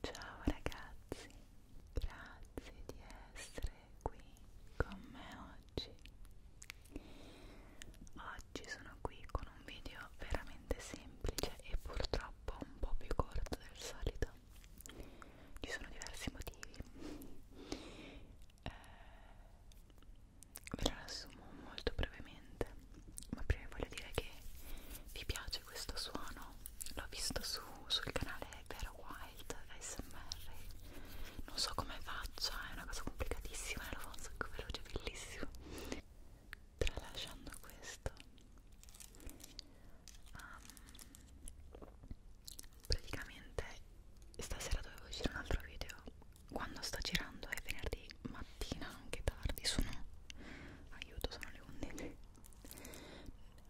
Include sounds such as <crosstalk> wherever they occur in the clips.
Ciao ragazzi, grazie di essere qui con me oggi. Oggi sono qui con un video veramente semplice e purtroppo un po' più corto del solito. Ci sono diversi motivi. Eh, ve la riassumo molto brevemente ma prima voglio dire che vi piace questo suono l'ho visto su, sul canale Vera Wild ASMR non so come faccia è una cosa complicatissima e lo fa un sacco veloce bellissimo tralasciando questo um, praticamente stasera dovevo uscire un altro video quando sto girando è venerdì mattina anche tardi sono aiuto sono le 11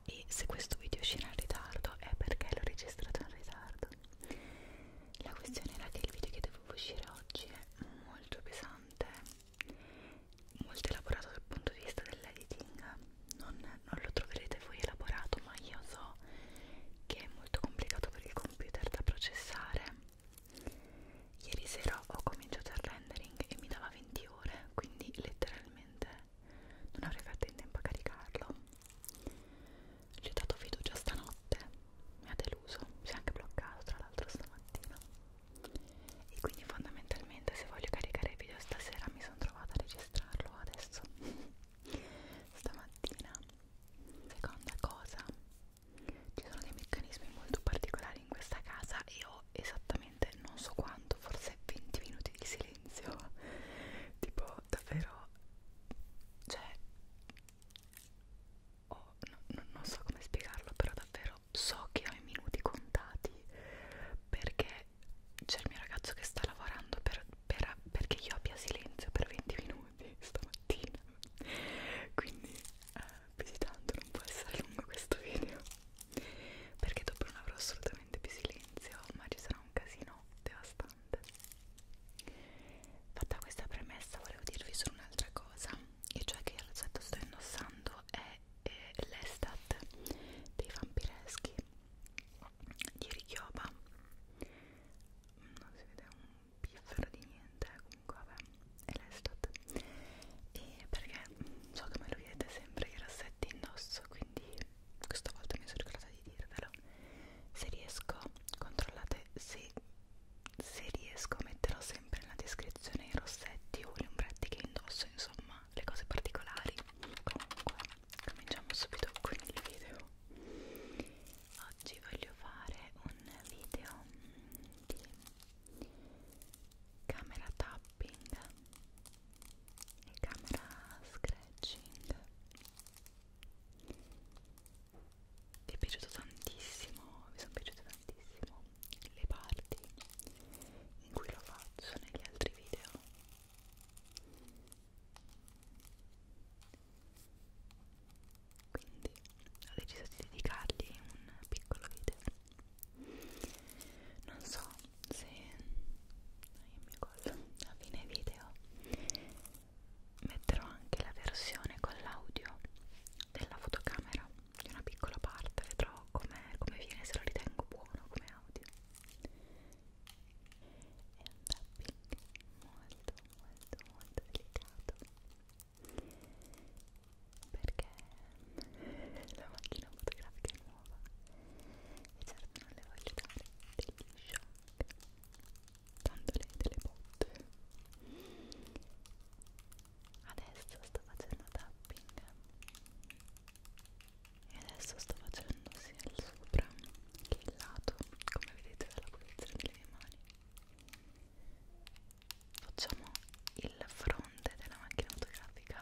e se questo video uscirà in ritardo è perché l'ho registrato in ritardo la questione era che il video che dovevo uscire oggi è molto pesante molto elaborato dal punto di vista dell'editing non, non lo troverete voi elaborato ma io so che è molto complicato per il computer da processare Ieri sera ho cominciato il rendering e mi dava 20 ore, quindi letteralmente non avrei fatto in tempo a caricarlo. Gli ho dato fiducia stanotte, mi ha deluso, si è anche bloccato tra l'altro stamattina. E quindi fondamentalmente se voglio caricare il video stasera mi sono trovata a registrarlo adesso. <laughs> Stamattina. Seconda cosa, ci sono dei meccanismi molto particolari in questa casa e ho esattamente non so quanto, forse 20 minuti di silenzio <laughs> tipo davvero cioè oh, no, no, non so come spiegarlo però davvero so che ho i minuti contati perché c'è il mio ragazzo che sta lavorando per, per, perché io abbia silenzio per 20 minuti minuti stamattina quindi eh, più di tanto non può essere lungo questo video perché dopo non avrò assolutamente più silenzio ma ci sarà un casino devastante fatta questa premessa volevo dirvi solo un'altra cosa e cioè che il rosetto sto indossando è eh, l'estat dei vampireschi di Richioba non si vede un piffero di niente eh, comunque vabbè è l'estat e perché so che me lo chiedete sempre i rassetti indosso quindi questa volta mi sono ricordata di dirvelo se riesco controllate se, se riesco metterò sempre nella descrizione i rossetti o gli ombretti che indosso insomma le cose particolari comunque cominciamo subito con il video oggi voglio fare un video di camera tapping e camera scratching mi è piaciuto tantissimo mi sono piaciute tantissimo le parti in cui lo faccio negli altri video quindi ho deciso di dedicargli un piccolo video non so se no, a fine video metterò anche la versione con l'audio della fotocamera di una piccola parte vedrò com come viene se lo ritengo buono come audio e un tapping molto molto molto delicato perché la macchina fotografica è nuova e certo non le voglio dare degli shock tanto lei delle botte adesso sto facendo tapping e adesso sto facendo sia il sopra che il lato come vedete dalla posizione delle mie mani facciamo il fronte della macchina fotografica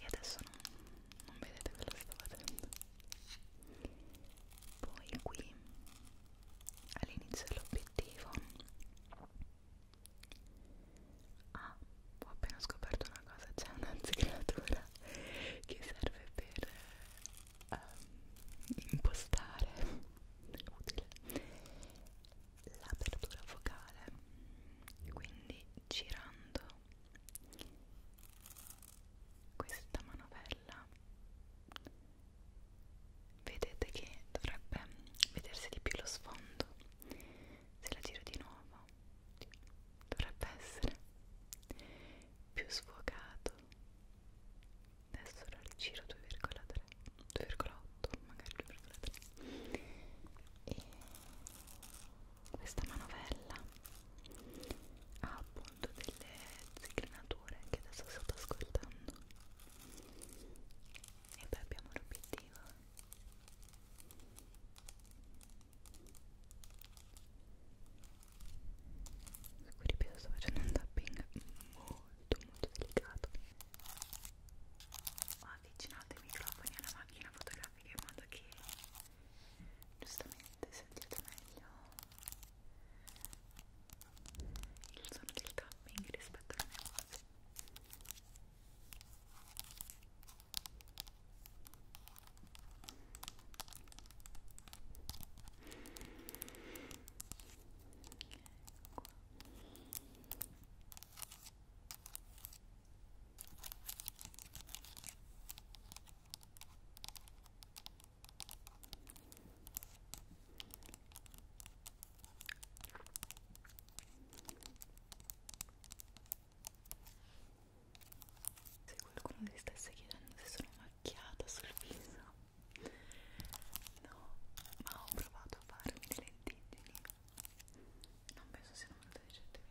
e adesso non, non vedete quello che sto facendo poi qui all'inizio dell'obiettivo ah ho appena scoperto una cosa c'è un'anzicreatura <laughs> che serve per um, impostare utile l'apertura focale quindi girando questa manovella vedete che dovrebbe vedersi di più lo sfondo se la giro di nuovo dovrebbe essere più sfocato adesso la rigiro 2,3 2,8 magari 2,3 e questa manovella ha appunto delle zigrinature che adesso sto ascoltando e poi abbiamo l'obiettivo qui ripeto sto facendo un tapping molto molto delicato ho avvicinato i microfoni alla macchina fotografica in modo che giustamente sentite meglio il suono del tapping rispetto alla mia voce se qualcuno si stesse chiedendo se sono macchiata sul viso No, ma ho provato a farmi le lentiggini. Non penso siano molto recentemente.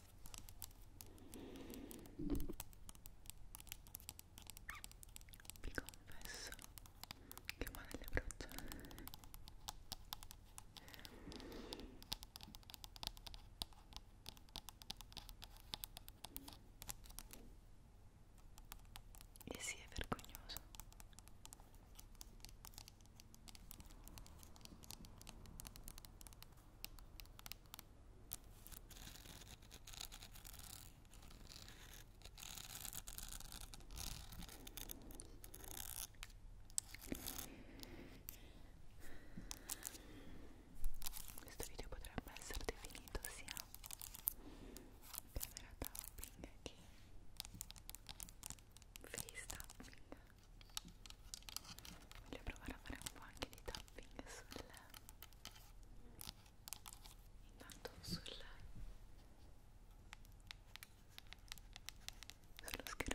vi confesso che male le braccia e si sì, è vergognoso questo video potrebbe essere definito sia camera tapping che face tapping voglio provare a fare un po' anche di tapping sul intanto sul sullo schermino quindi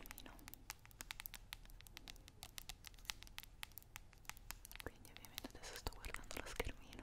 ovviamente adesso sto guardando lo schermino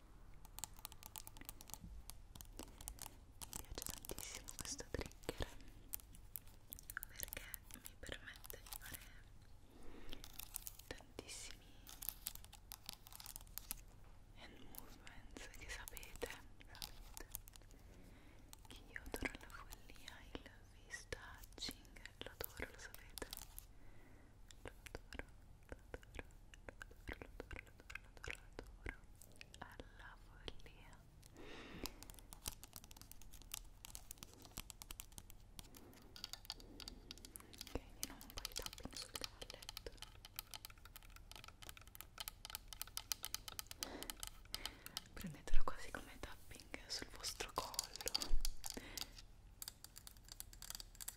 Mi piace tantissimo questo trigger perché mi permette di fare tantissimi hand movements che sapete, sapete che io adoro la follia, il face touching, lo adoro, lo sapete lo adoro, lo adoro, lo adoro, lo adoro, lo adoro adoro, adoro, adoro alla follia ok, andiamo un po' di tapping sul cavalletto prendetelo quasi come tapping sul vostro collo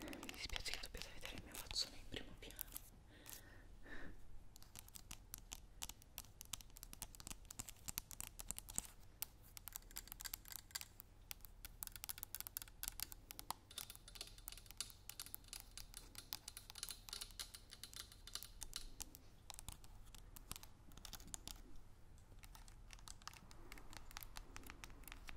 mi dispiace che dobbiate vedere il mio faccione in primo piano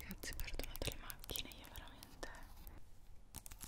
Ragazzi perdonate le macchine, io veramente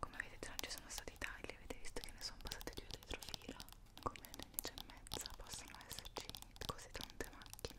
come vedete non ci sono stati tagli avete visto che ne sono passate due dietro fila come alle 11 e mezza possono esserci così tante macchine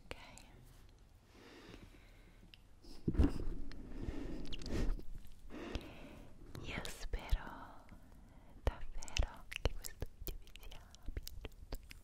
Ok. Io spero davvero che questo video vi sia piaciuto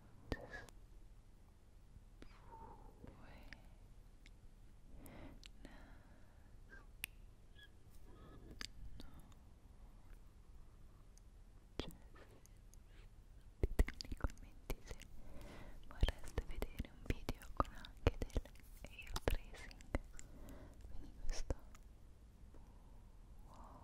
nei commenti se vorreste vedere un video con anche del hair tracing quindi questo wow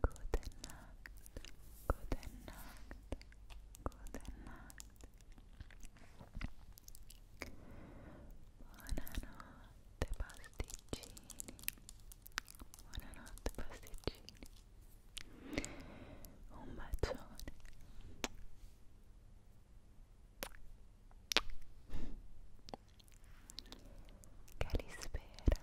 Guten Nacht, Guten Nacht, Guten Nacht. Buonanotte pasticcini. Buonanotte pasticcini. Un bacione. Calispera.